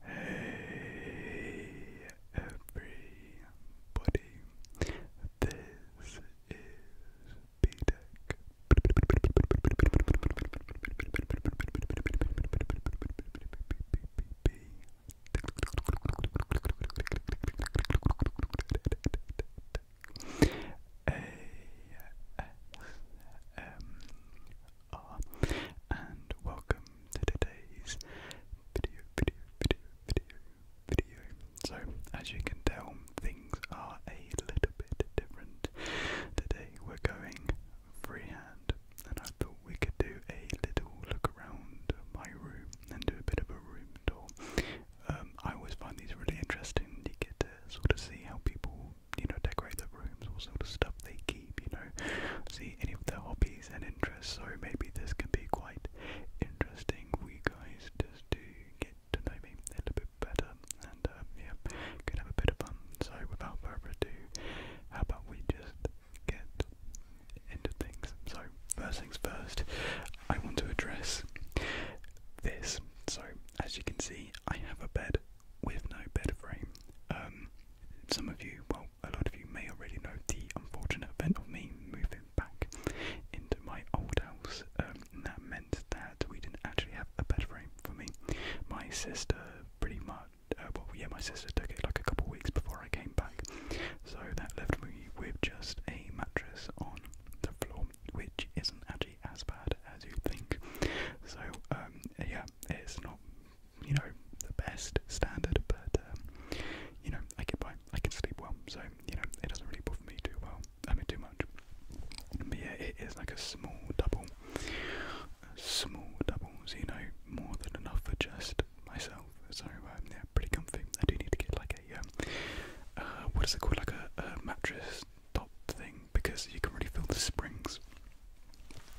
Hey everybody, this is B-Tech. A are, and welcome to today's video, video, video, video, video. So, as you can tell, things are a little bit different. Today we're going freehand, and I thought we could do a little look around my room and do a bit of a room tour. Um, I always find these really interesting. You get to sort of see how people, you know, decorate their rooms, what sort of stuff they you know, see any of their hobbies and interests. So maybe this can be quite interesting for guys just to get to know me a little bit better and um, yeah, can have a bit of fun. So without further ado, how about we just get into things? So first things first, I want to address this. So as you can see, I have a bed with no bed frame. Um, some of you, well, a lot of you may already know the unfortunate event of me moving back into my old house. Um, that meant that we didn't actually have a bed frame for me. My sister pretty much, uh, well, yeah, my sister took it like a couple of weeks before I came back. So that left me with just a mattress on the floor, which isn't actually as bad as you think. So, um, yeah, it's not you know, the best standard, but um, you know, I get by. I can sleep well, so you know, it doesn't really bother me too well. I mean, too much. But yeah, it is like a small double, a small doubles. You know, more than enough for just myself. So uh, yeah, pretty comfy. I do need to get like a um, uh, what is it called, like a mattress top thing because you can really feel the springs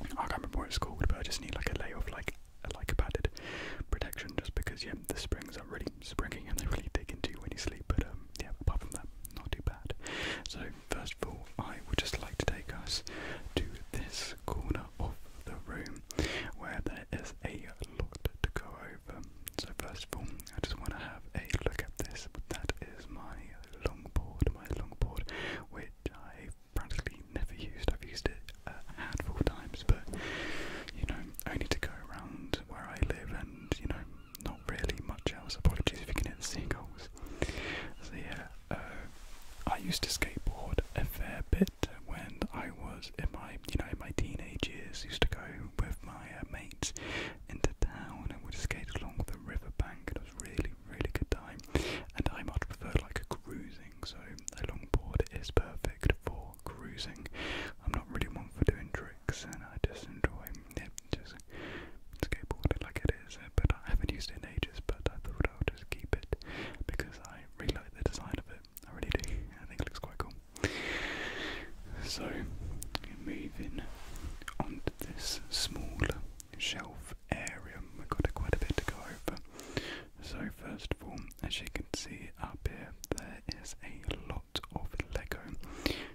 I can't remember what it's called, but I just need like a layer of like a like padded protection, just because yeah, the springs are really springy and they really dig into you when you sleep. But um, yeah, apart from that, not too bad. So first of all, I would just like to take us to this corner of the room where there is a lot to go over. So first of all, I just want to have a look at this. That is my longboard, my longboard, which I practically never used. I've used it uh, a handful of times, but you know, only to go around where I live and you know, not really much else. Apologies if you can hear the So, yeah, uh, I used to skateboard a fair bit when I was in my you know, my teenage years, used to go with my uh, mates into town and would skate along the riverbank. It was really, really good time. And I much prefer like cruising, so a longboard is perfect for cruising. I'm not really one for doing tricks, and I just enjoy Just skateboarding like it is, uh, but I haven't used it in ages. But I thought I'll just keep it because I really like the design of it. I really do. I think it looks quite cool. So moving onto this small shelf area. We've got quite a bit to go over. So first of all, as you can see up here, there is a lot of Lego.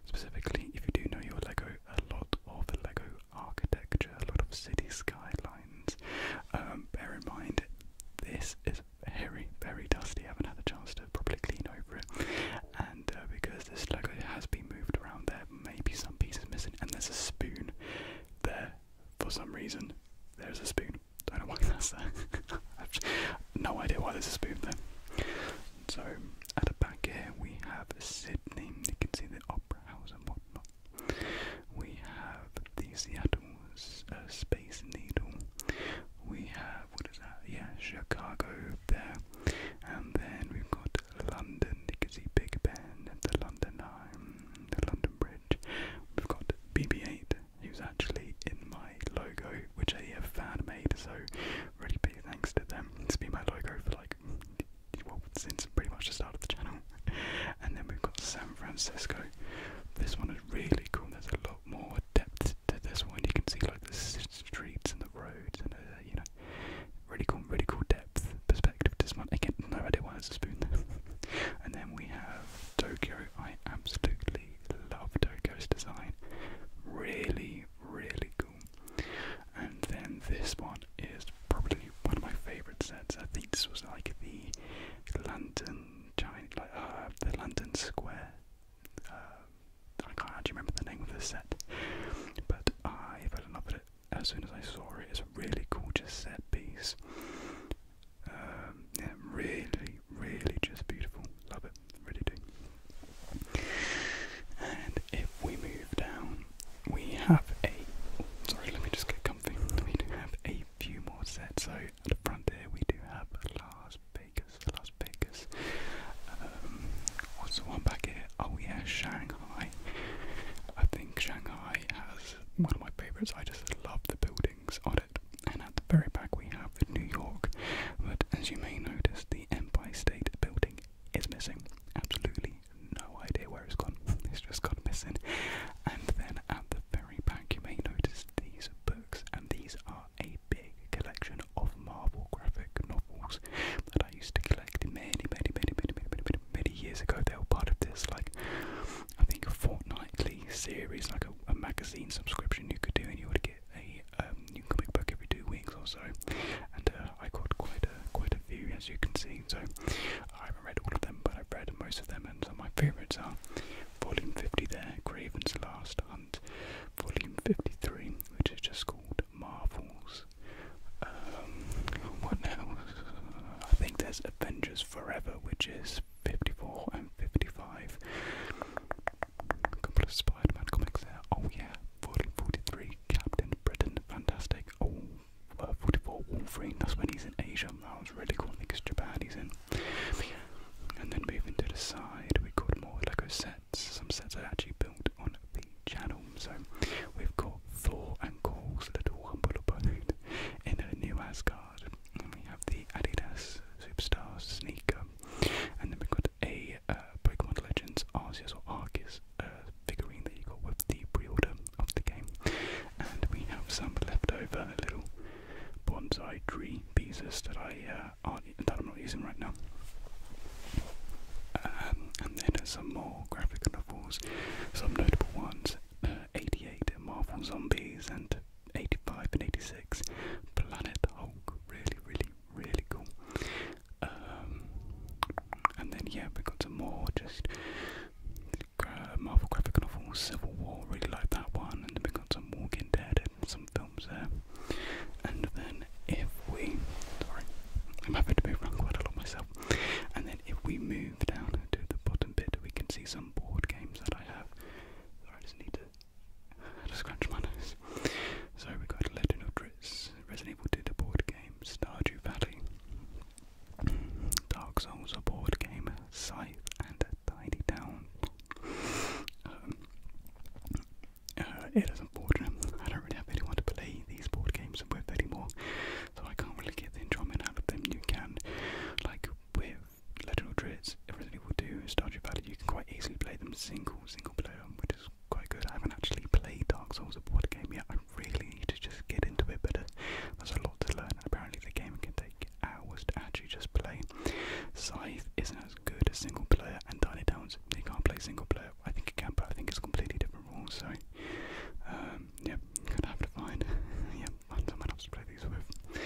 Specifically, if you do know your Lego, a lot of Lego architecture, a lot of city skylines. Um, bear in mind, this is very, very dusty. I haven't had a chance to properly clean over it, and uh, because this Lego has been moved around there maybe some pieces missing, and there's a spoon there for some reason. There's a spoon. Don't know why that's there. I've no idea why there's a spoon there. So at the back here we have Sydney. You can see the Opera House and whatnot. We have the Seattle uh, Space Needle. We have what is that? Yeah, Chicago there. And then we've got London. You can see Big Ben at the London Eye, the London Bridge. We've got BB8, who's actually in my logo, which I have fan made. So really big thanks to them. to be my logo for like well since pretty much the start of the channel. And then we've got San Francisco. This one is really cool. There's a lot more depth to this one. You can see like the streets and the roads and uh, you know, really cool, really cool depth depth perspective to this one. Again, no idea why there's a spoon and then we have Tokyo. I absolutely love Tokyo's design. Really, really cool. And then this one is probably one of my favourite sets. I think this was like the London giant, like uh, the London Square. Uh, I can't actually remember the name of the set, but I fell in love as soon as I saw it. It's a really gorgeous set piece. Um, really, really just beautiful. Love it, really do. And if we move down, we have a. sorry, let me just get comfy. We have a few more sets. So at the front here, we do have Las Vegas, Las Vegas. Um, what's the one back here? Oh yeah, Shanghai. I think Shanghai has one of my favourites. I just love the buildings on it. And at the very back we have New York. But as you may notice, the Empire State Building is missing. Absolutely no idea where it's gone. It's just gone missing. And then at the very back you may notice these books and these are a big collection of Marvel graphic novels crystals that I used to collect many, many, many, many, many, many, many, many years ago. They were part of this, like, I think a fortnightly series, like a, a magazine subscription you could do, and you would get a um, new comic book every two weeks or so. And uh, I got quite a quite a few, as you can see. So I haven't read all of them, but I've read most of them, and some of my favourites are Volume 50 there, Craven's Last Hunt, Volume 53, which is just called Marvels. Um, what else? I think there's Avengers Forever, which is 54 and 55. A Spider Man comics there. Oh, yeah, 40 43, Captain Britain, fantastic. Oh, uh, 44, Wolverine, that's when he's in Asia. That was really cool. I Japan he's in. And then moving to the side, we got more Lego set some sets I actually built on the channel. So we've got Floor and Cole's Little Humble Abode in a new Asgard. we have the Adidas Superstars sneaker. And then we've got a uh, Pokemon Legends Arceus or Arceus uh, figurine that you got with the pre-order of the game. And we have some leftover little bonsai tree pieces that I uh, that I'm not using right now. Um, and then some more graphic novels, some notable ones uh, 88 Marvel Zombies and 85 and 86 Planet Hulk. Really, really, really cool. Um, and then, yeah, we have got some more just uh, Marvel graphic novels, Civil War, really like that one. And then we got some Walking Dead some films there. And then if we, sorry, I'm having to move around quite a lot myself. And then if we move down to the bottom bit, we can see some board games that I have. Sorry, I just need to, to scratch my nose. So we've got Legend of Drizzt, Resident Evil 2, the board games, Stardew Valley, Dark Souls, a board game, Scythe, and Tidy Down. Um, uh, it is unfortunate. I don't really have anyone to play these board games with anymore, so I can't really get the enjoyment out of them. You can, like with Legend of Drizzt, Resident Evil 2, Stardew Valley, you can quite easily play them single, single player, which is quite good. I haven't actually played Dark Souls a board game yet. I really need to just get into it, but uh, there's a lot to learn. Apparently, the game can take hours to actually just play. Scythe isn't as good as single player, and Tiny Downs you can't play single player. I think you can, but I think it's completely different rules. So, um, yeah, gonna have to find, yeah, find someone else to play these with.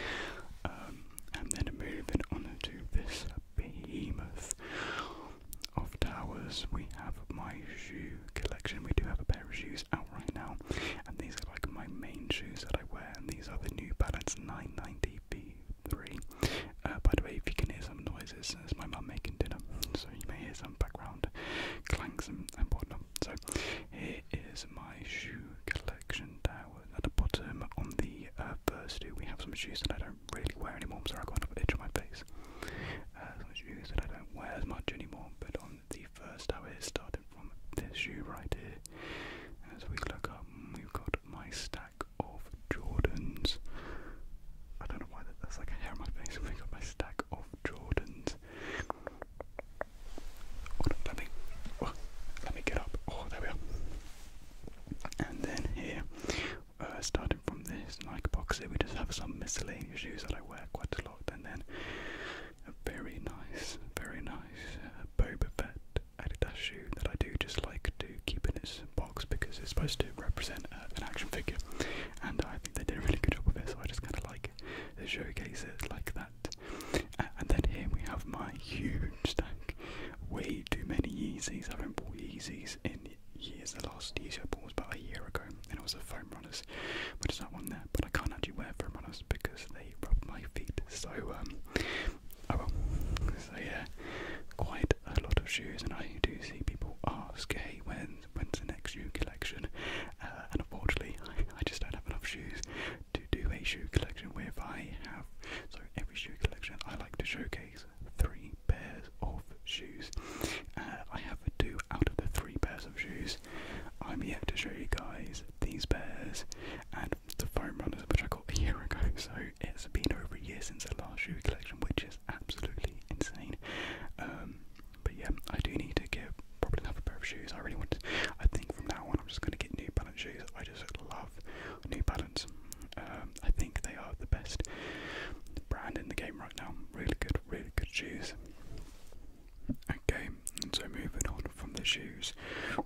Um, and then moving on to this behemoth of towers, we have my shoe collection. We do have a pair of shoes out right now, and these are like my main shoes that I wear. And these are the New Balance 990 B3 uh, by the way, if you can hear some noises, it's my mum making dinner, so you may hear some background clanks and, whatnot. So here is my shoe collection tower. At the bottom on the uh, first two, we have some shoes that I don't really wear anymore. I'm sorry, I got an itch on my face. Uh, some shoes that I don't wear as much anymore, but on the first tower, it started from this shoe right here. As we look up, we've got my stack stack of Jordans. I don't know why that, that's like a hair on my face. I've got my stack of Jordans. Oh, let me, oh, let me get up. Oh, there we are. And then here, uh, starting from this Nike box here, we just have some miscellaneous shoes that I wear quite a lot. And then a very nice, very nice uh, Boba Fett Adidas shoe that I do just like to keep in its because it's supposed to represent uh, an action figure, and I think they did a really good job with it. So I just kind of like to showcase it like that. and then here we have my huge stack, way too many Yeezys. I haven't bought Yeezys in years. The last Yeezy I bought was about a year ago, and it was a foam runners, which is that one there. But I can't actually wear foam runners because they rub my feet. So um, oh so yeah, uh, quite a lot of shoes, and I do see people ask, "Hey, when's when's the next shoe collection?" Uh, and unfortunately, I, just don't have enough shoes to do a shoe collection. Where if I have so every shoe collection, I like to showcase three pairs of shoes. Uh, I have two out of the three pairs of shoes. I'm yet to show you guys these pairs and the foam runners, which I got a year ago. So it's been over a year since the last shoe collection, which is absolutely insane. Um, but yeah, I do need to get probably another pair of shoes. I really want. To, I think from now on, I'm just going to get New Balance shoes. I just love New Balance. Um, I think they are the best brand in the game right now. Really good, really good shoes. Okay, and so moving on from the shoes,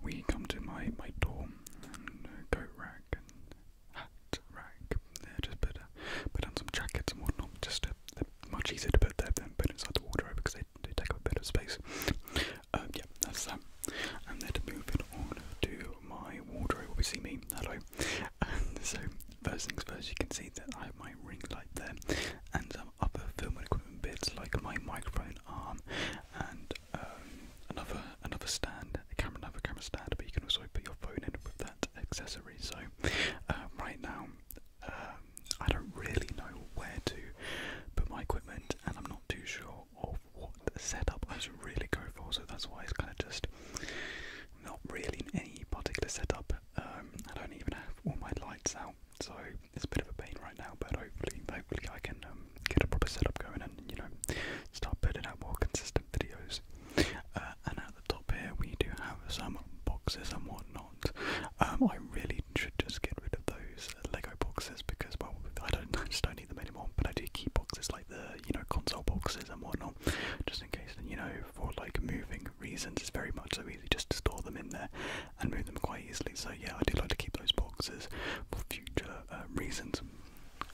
we come to my my dorm and uh, coat rack and hat rack. just put put down some jackets and whatnot. Just much easier to put there than put inside the wardrobe because they take up a space. Um, yeah, that's that. And then moving on to my wardrobe, obviously me. Hello. Um, so first things first, you can see that I have my ring light there, and some other film equipment bits like my microphone arm, and um, another another stand, a camera, another camera stand, but you can also put your phone in with that accessory. So um, right now, um, I don't really know where to put my equipment, and I'm not too sure of what setup I should really go for. So that's why it's kind of just not really in any particular setup. Um, I don't even have all my lights out, so it's a bit of a pain right now. But hopefully, hopefully I can get a proper setup going and you know start putting out more consistent videos. Uh, and at the top here, we do have some boxes and whatnot. Um, I really should just get rid of those Lego boxes because, well, I don't, just don't need them anymore. But I do keep boxes like the, you know, console boxes and whatnot, just in case. You know, for like moving reasons, it's very much so easy just to store them in there and move them quite easily. So yeah, I do like to keep those boxes for future uh, reasons.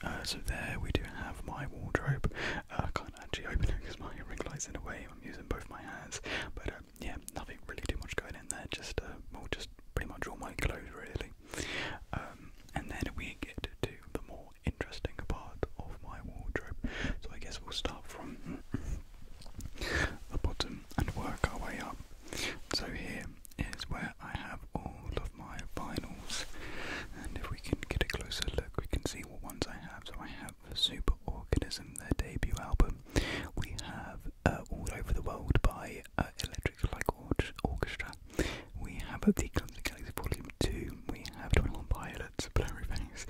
Uh, so there we do have my wardrobe. Uh, I can't actually open it because my ring light's in the way. I'm using both my hands, but uh, yeah, nothing really too much going in there. Just uh, just pretty much all my clothes really. Um, and then we get to the more interesting part of my wardrobe. So I guess we'll start from the bottom and work our way up. So here is where I have all of my vinyls, and if we can get a closer look, we can see what ones I have. So I have Super Organism, their debut album. We have uh, All Over the World by uh, Electric Like Orchestra. We have uh, The Clumsy Galaxy Volume 2. We have 21 Pilots, Blurry Face.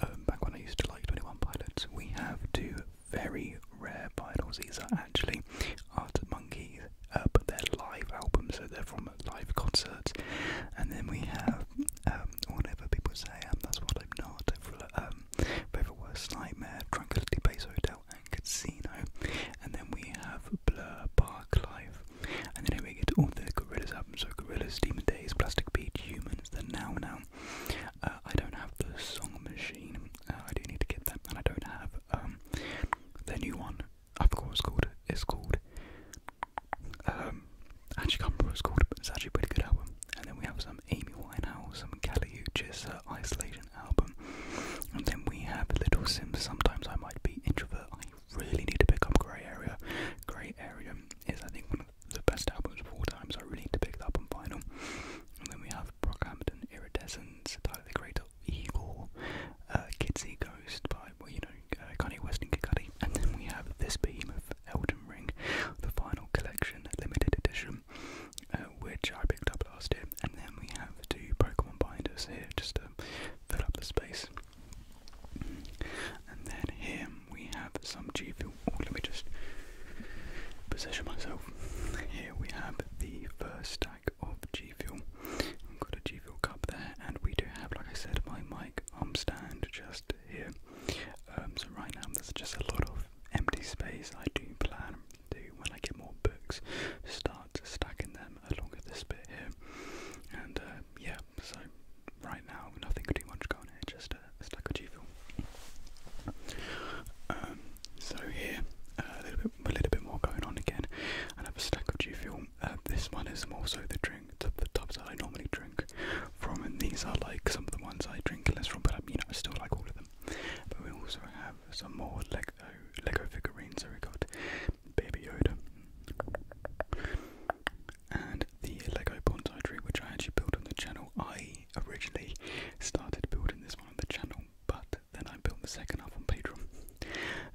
Um, back when I used to like 21 Pilots, we have two very rare vinyls. These are actually Art Monkeys but they're live albums, so they're from live concerts. And then we have um, whatever People Say um, That's What I'm Not, um, Favourite Worst Nightmare, Tranquility Base Hotel, and Casino. And then we have Blur, Park Life. And then we get all the Gorillaz albums, so Gorillaz, Demon Days, Plastic Beat, Humans, The Now Now. Uh, I don't have the Song Machine, uh, I do need to get that, and I don't have um, their new one, I forgot it's called. It's called. Um, actually come from remember what it's called, it's actually pretty good album. And then we have some Amy Winehouse, some Kelly Isolation album. And then we have Little Sims. Sometimes I might be introvert. I really need to pick up Grey Area. Grey Area is, I think, one of the best albums of all time, so I really need to pick that up on vinyl. And then we have Brockhampton, Iridescence, Tyler great. Creator. Eagle, uh, Kitsy by, well, you know, uh, Kanye West and then we have this behemoth, Elden Ring, the final collection, limited edition, uh, which I picked up last year. And then we have two Pokemon binders here, just to fill up the space. And then here we have some G oh, let me just position myself. Here we have the first stack of G Fuel. I've got a G Fuel cup there, and we do have, like I said, my mic um, stand just here. Um, so right now there's just a lot of empty space. I do plan to, when I get more books, start stacking them along with this bit here. And uh, yeah, so right now nothing too much going on here, just a, stack of G Fuel. Um, so here, uh, a little bit a little bit more going on again. I have a stack of G film. this one is more so the drink, the, tubs that I normally drink from, and these are like some of the ones I drink less from, but I um, mean, I still like all of them. But we also have some more Lego, Lego figurines. So we got Baby Yoda and the Lego bonsai tree, which I actually built on the channel. I originally started building this one on the channel but then I built the second half on Patreon.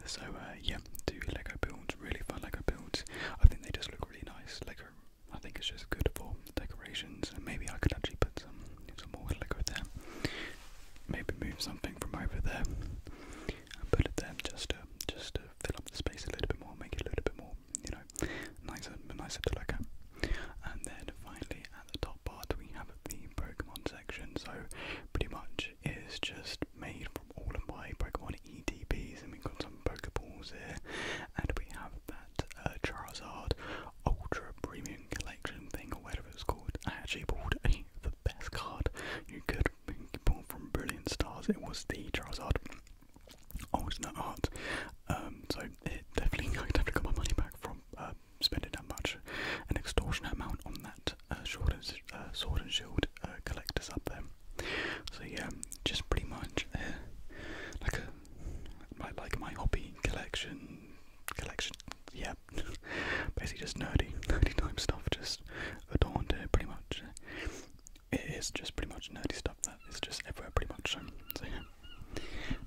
So uh, yeah, do Lego builds, really fun Lego builds. I think they just look really nice. Lego, I think it's just good for decorations, maybe I could actually put some some more Lego there. Maybe move something from over there and put it there just to just to fill up the space a little bit more, make it a little bit more, you know, nicer, nicer to look at. And then finally, at the top part, we have the Pokemon so pretty much it's just made from all of my Pokemon ETBs, and we've got some Pokeballs here, and we have that uh, Charizard Ultra Premium Collection thing, or whatever it's called. I actually bought the best card you could pull from Brilliant Stars, it was the Charizard Alternate Art. Um, so it definitely, I definitely got my money back from uh, spending that much. An extortionate amount on that uh, sword, and, uh, sword and shield uh, collectors up there. So yeah, just pretty much uh, like a like, like my hobby collection collection. Yeah, basically just nerdy, nerdy type stuff, just adorned uh, pretty much. It is just pretty much nerdy stuff that is just everywhere pretty much. So, yeah.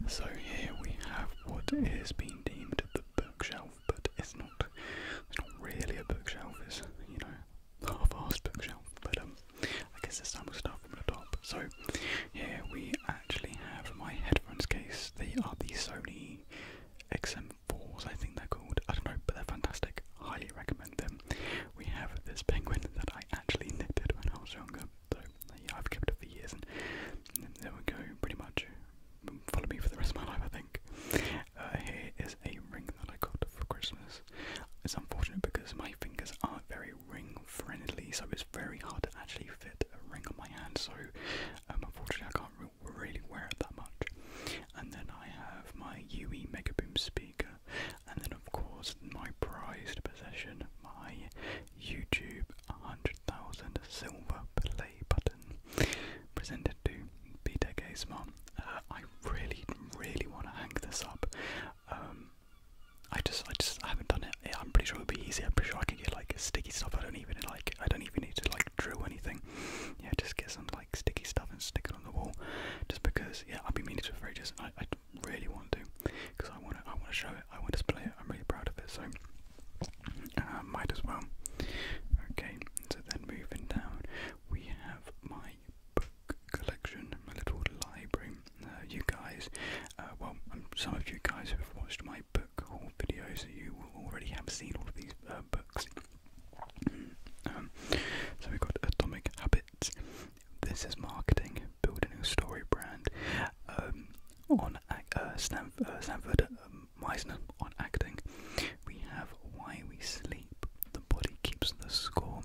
so here we have what is being deemed the bookshelf but it's not it's not really a bookshelf, it's you know, half-assed bookshelf, but um I guess there's some stuff from the top. So here we actually have my headphones case. They are the Sony XM4s, I think they're called. I don't know, but they're fantastic. Highly recommend them. We have this penguin that I actually knitted when I was younger. So yeah, I've kept it for years and, and there we go, pretty much follow me for the rest of my life, I think. Uh, here is a ring that I got for Christmas. It's unfortunate because my fingers aren't very ring friendly, so it's very hard to actually fit a ring on my hand, so um, unfortunately, I can't really wear it that much. And then I have my UE Mega Boom speaker, and then, of course, my prized possession, my YouTube 100,000 silver play button presented to Peter Gaysmon. Uh, I really, really want to hang this up. Um, I just, I just haven't done it. I'm pretty sure it'll be easy. I'm pretty sure I can get like sticky stuff. I don't even like, I don't even need to like drill anything. Yeah, just get some like sticky stuff and stick it on the wall. Just because, yeah, I've been meaning to for ages. I, I really want to, because I want to, I want to show it. I want to display it. I'm really proud of it. So uh, might as well. Okay, so then moving down, we have my book collection, my little library. Uh, you guys, uh, well, um, some of you guys who have watched my book haul videos, you will already have seen all of these books. Mm, um, so we've got Atomic Habits. This is marketing, Build a new story brand. Um, on Stanford Meisner on acting. We have Why We Sleep, The Body Keeps the Score,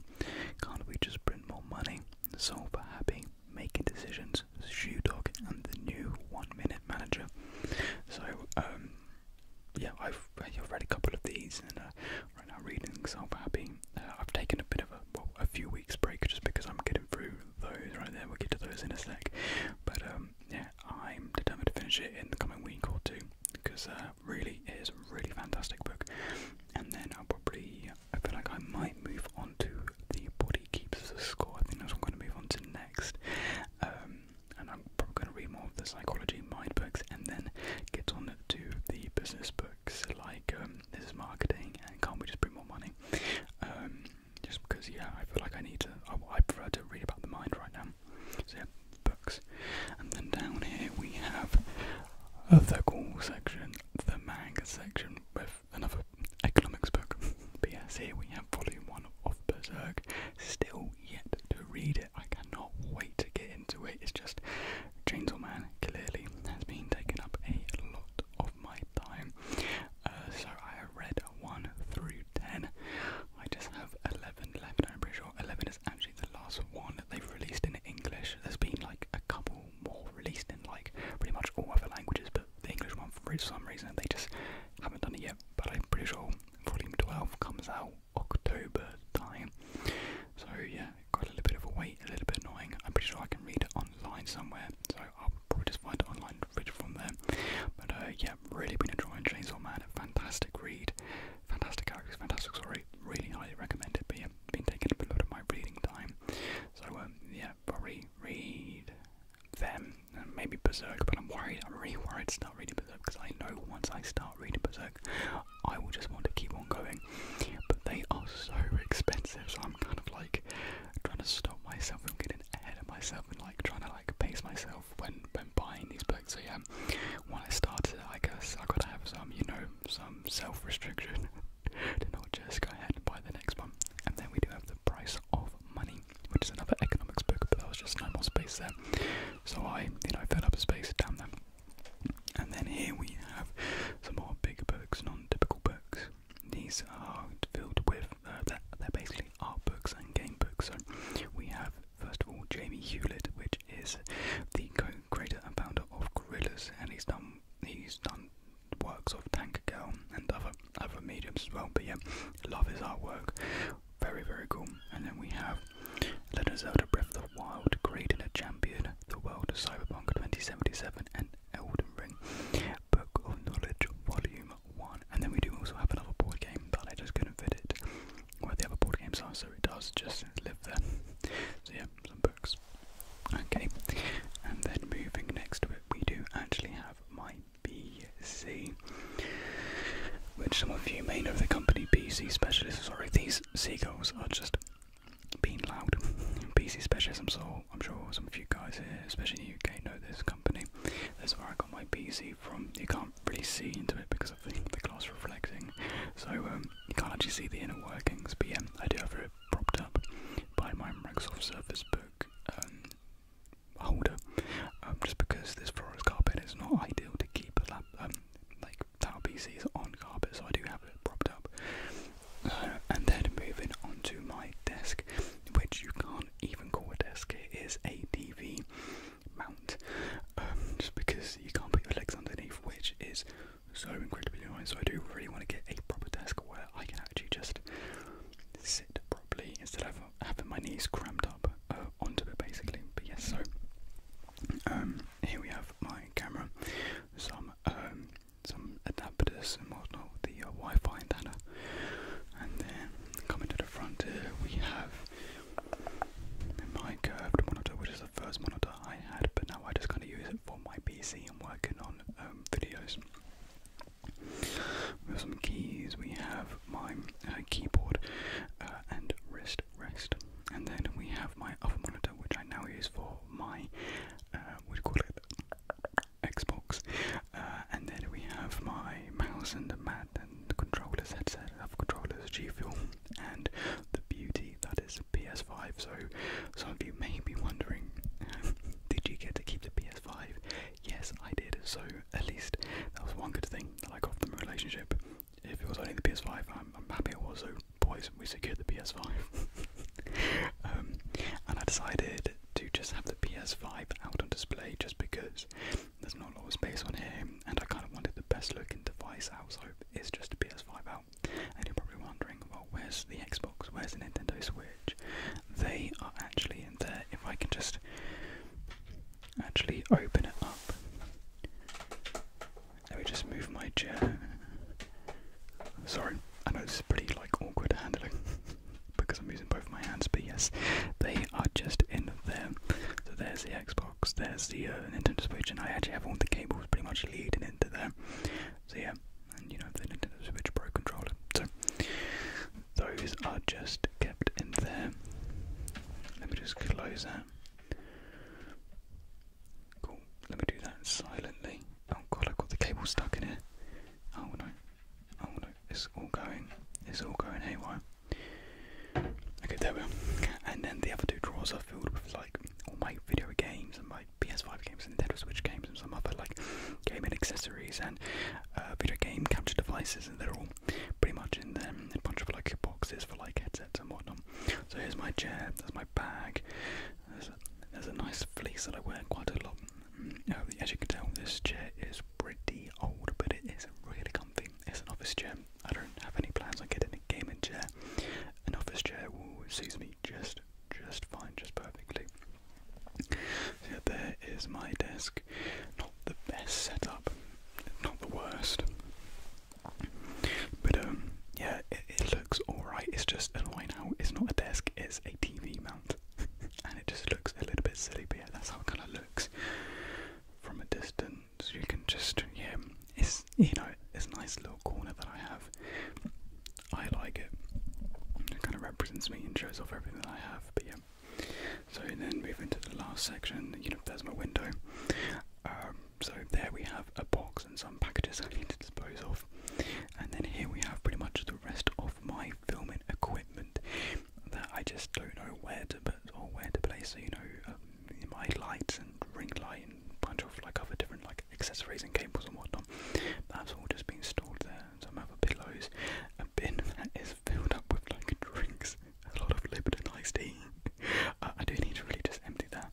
Can't We Just Print More Money, Soul for Happy, Making Decisions, Shoe Dog, and the new One Minute Manager. So, um, yeah, I've, I've read a couple of these, and uh, right now reading Soul Happy. Uh, I've taken a bit of a a few weeks break just because I'm getting through those right there. We'll get to those in a sec. But um, yeah, I'm determined to finish it in the coming week or two because uh, really it is a really fantastic book. And then I'll probably, I feel like I might move on to The Body Keeps the Score. I think that's what I'm going to move on to next. Um, and I'm probably going to read more of the psychology mind books and then get on to the business books like um, this is marketing and can't we just bring more money? just because yeah, I feel like I need to. I, prefer to read about the mind right now. So yeah, books. And then down here we have uh, the cool section, the manga section with another economics book. but yes, here we have volume one of Berserk. Still yet to read it. I cannot wait to get into it. It's just Chainsaw Man clearly has been taking up a lot of my time. Uh, so I red 1 through 10. I just have 11 left, I'm pretty sure. 11 is actually the last one that they've released in English. There's been like a couple more released in like pretty much all other languages, but the English one, for some reason, they just haven't done it yet. But I'm pretty sure volume 12 comes out October time. So yeah, got a little bit of a wait, a little bit annoying. I'm pretty sure I can read it online somewhere, so I'll probably just find it online read from them, But uh, yeah, really been enjoying Chainsaw Man. A fantastic read, fantastic characters, fantastic story. Really highly recommend it. But yeah, been taking up a lot of my reading time. So um, yeah, probably read them and maybe Berserk. But I'm worried. I'm really worried to start reading Berserk because I know once I start reading Berserk, I will just want to keep on going. But they are so expensive, so I'm kind of like trying to stop myself from getting ahead of myself and like trying to like pace myself when when buying these books. So yeah, when I started, I guess I gotta have some, you know, some self restriction to not just go ahead and buy the next one. And then we do have the price of money, which is another economics book, but there was just no more space there, so I, you know, filled up a space down there. And then here we have some more big books, non-typical books. These are filled with, uh, they're, basically art books and game books. So we have, first of all, Jamie Hewlett, which is the co-creator and founder of Gorillas, and he's done he's done works of Tank Girl and other other mediums as well. But yeah, love his artwork, very very cool. And then we have Legend of Zelda: Breath of Wild, created a champion, the world of Cyberpunk 2077, and Elden Ring, Book of Knowledge, Volume 1. And then we do also have another board game, but I just couldn't fit it where the other board games are, so it does just live there. So, yeah, some books. Okay, and then moving next to it, we do actually have my BC, which some of you may know the company BC Specialists. Sorry, these seagulls are just being loud. BC Specialists, I'm so I'm sure some of you guys here, especially in the UK, know this company. That's where I got my PC from. You can't really see into it because of the, the glass reflecting, so um, you can't actually see the inner workings. But yeah, I do have it propped up by my Microsoft Surface Book um, holder, um, just because this floor is carpet is not ideal to keep a laptop um, like tower PCs on carpet, so I do have it propped up and then moving onto my desk, which you can't even call a desk, it is a TV mount, um, just because you can't put your legs underneath, which is so incredibly annoying. So I do really want to get a proper desk where I can actually just sit properly instead of having my knees crammed up uh, onto it, basically. But yes, so um, here we have my camera, some um, some adapters and whatnot with the uh, Wi-Fi antenna. And then coming to the front we have my curved uh, monitor, which is the first monitor I had, but now I just kind of use it for my PC and working on um, videos. We have some keys. We have my uh, keyboard and wrist rest, and then we have my other monitor, which I now use for my what do you call it? Xbox. Uh, and then we have my mouse and the mat and the controllers headset. I have controllers, G Fuel, and the beauty that is PS5. So some of you may be wondering, um, did you get to keep the PS5? Yes, I did. So at least that was one good thing that I got from the relationship. If it was only the PS5, I'm, happy it was. So boys, we secured the PS5. Um, and I decided to just have the PS5 out on display just because there's not a lot of space on here and I kind of wanted the best looking device out so it's just a PS5 out. And you're probably wondering, well where's the Xbox, where's the Nintendo Switch? They are actually in there if I can just actually open it up. Let me just move my chair Sorry, I know this is pretty like awkward handling because I'm using both my hands, but yes, they are just in there. So there's the Xbox, there's the uh, Nintendo Switch, and I actually have all the cables pretty much leading into there. So yeah, and you know the Nintendo Switch Pro controller. So those are just kept in there. Let me just close that. Cool. Let me do that silently. Oh god, I've got the cable stuck in here. Oh no. Oh no, it's all going. It's all going haywire. Okay, there we are. And then the other two drawers are filled with like all my video games and my PS5 games and Nintendo Switch games and some other like gaming accessories and uh, video game capture devices and they're all pretty much in them. A bunch of like boxes for like headsets and whatnot. So here's my chair, that's my bag, there's a, nice fleece that I wear quite a lot. Mm, uh, as you can tell, this chair is pretty old, but it is really comfy. It's an office chair. I don't have any plans on getting a gaming chair. An office chair will suits me just, just fine, just perfectly. yeah, there is my desk. Not the best setup, not the worst, but um, yeah, it looks alright. It's just annoying how it's not a desk; it's a TV mount, and it just looks a little bit silly. But yeah, that's how it kind of looks from a distance. You can just yeah, it's you know it's a nice little corner that I have. I like it. It kind of represents me and shows off everything that I have. But yeah. So then move into the last section, you know, there's my window. Um, so there we have a box and some packages I need to dispose of. And then here we have pretty much the rest of my filming equipment that I just don't know where to put or where to place. So you know, um, my lights and ring light and bunch of like other different like accessories and cables and whatnot. That's all just been stored there. Some other pillows, a bin that is filled up with like drinks, a lot of and iced tea. Uh, I do need to really just empty that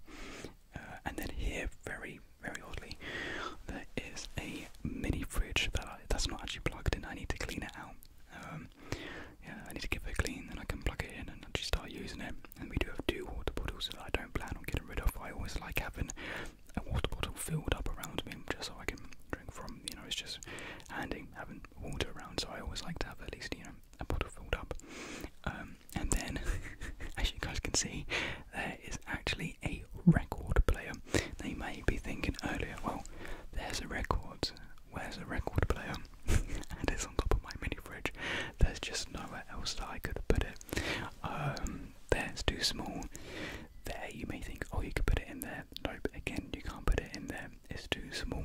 uh, and then here, very, very oddly, there is a mini fridge that I, that's not actually plugged in. I need to clean it out. Um, yeah, I need to give it a clean, then I can plug it in and actually start using it. And we do have two water bottles that I don't plan on getting rid of. I always like having a water bottle filled up around me just so I can drink from. You know, it's just handy having water around. So I always like to have at least you know a bottle filled up. Um, and then, as you guys can see, there is actually a record player. Now you may be thinking earlier, well, there's a record. Where's a record player? and it's on top of my mini fridge. There's just nowhere else that I could put it. Um, there's too small. There, you may think, oh, you could put it in there. Nope, again, you can't put it in there. It's too small.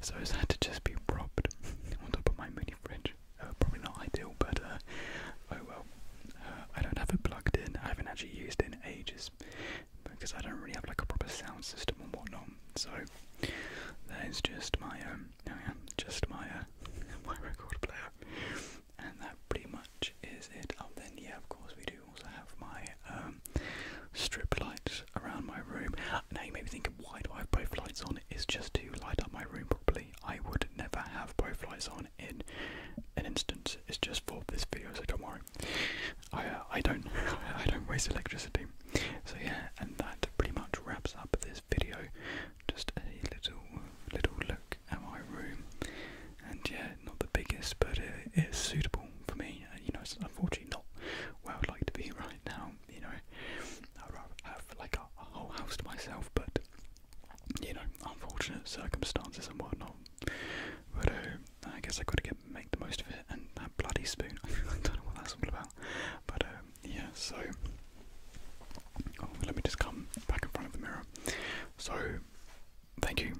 So it's had to just be propped on top of my mini fridge. Uh, probably not ideal, but uh, oh well. Uh, I don't have it plugged in. I haven't actually used it in ages because I don't really have like a proper sound system and whatnot. So that is just my um, oh yeah, just my uh, my record player, and that pretty much is it. Oh, then yeah, of course we do also have my um strip lights around my room. Now you may be thinking, why do I have both lights on? is just to light up my room properly. I would never have both lights on in an instance. It's just for this video, so don't worry. I uh, I don't I don't waste electricity. So yeah, and that pretty much wraps up this video. Just a little little look at my room, and yeah, not the biggest, but it is suitable for me. And, uh, you know, it's unfortunately not where I'd like to be right now. You know, I'd rather have like a whole house to myself, but you know, unfortunate circumstances and whatnot. But uh, I guess I gotta get make the most of it. And that bloody spoon, I don't know what that's all about. But uh, yeah, so oh, let me just come back in front of the mirror. So thank you.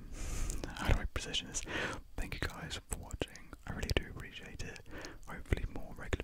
How do I position this? Thank you guys for watching. I really do appreciate it. Hopefully more regular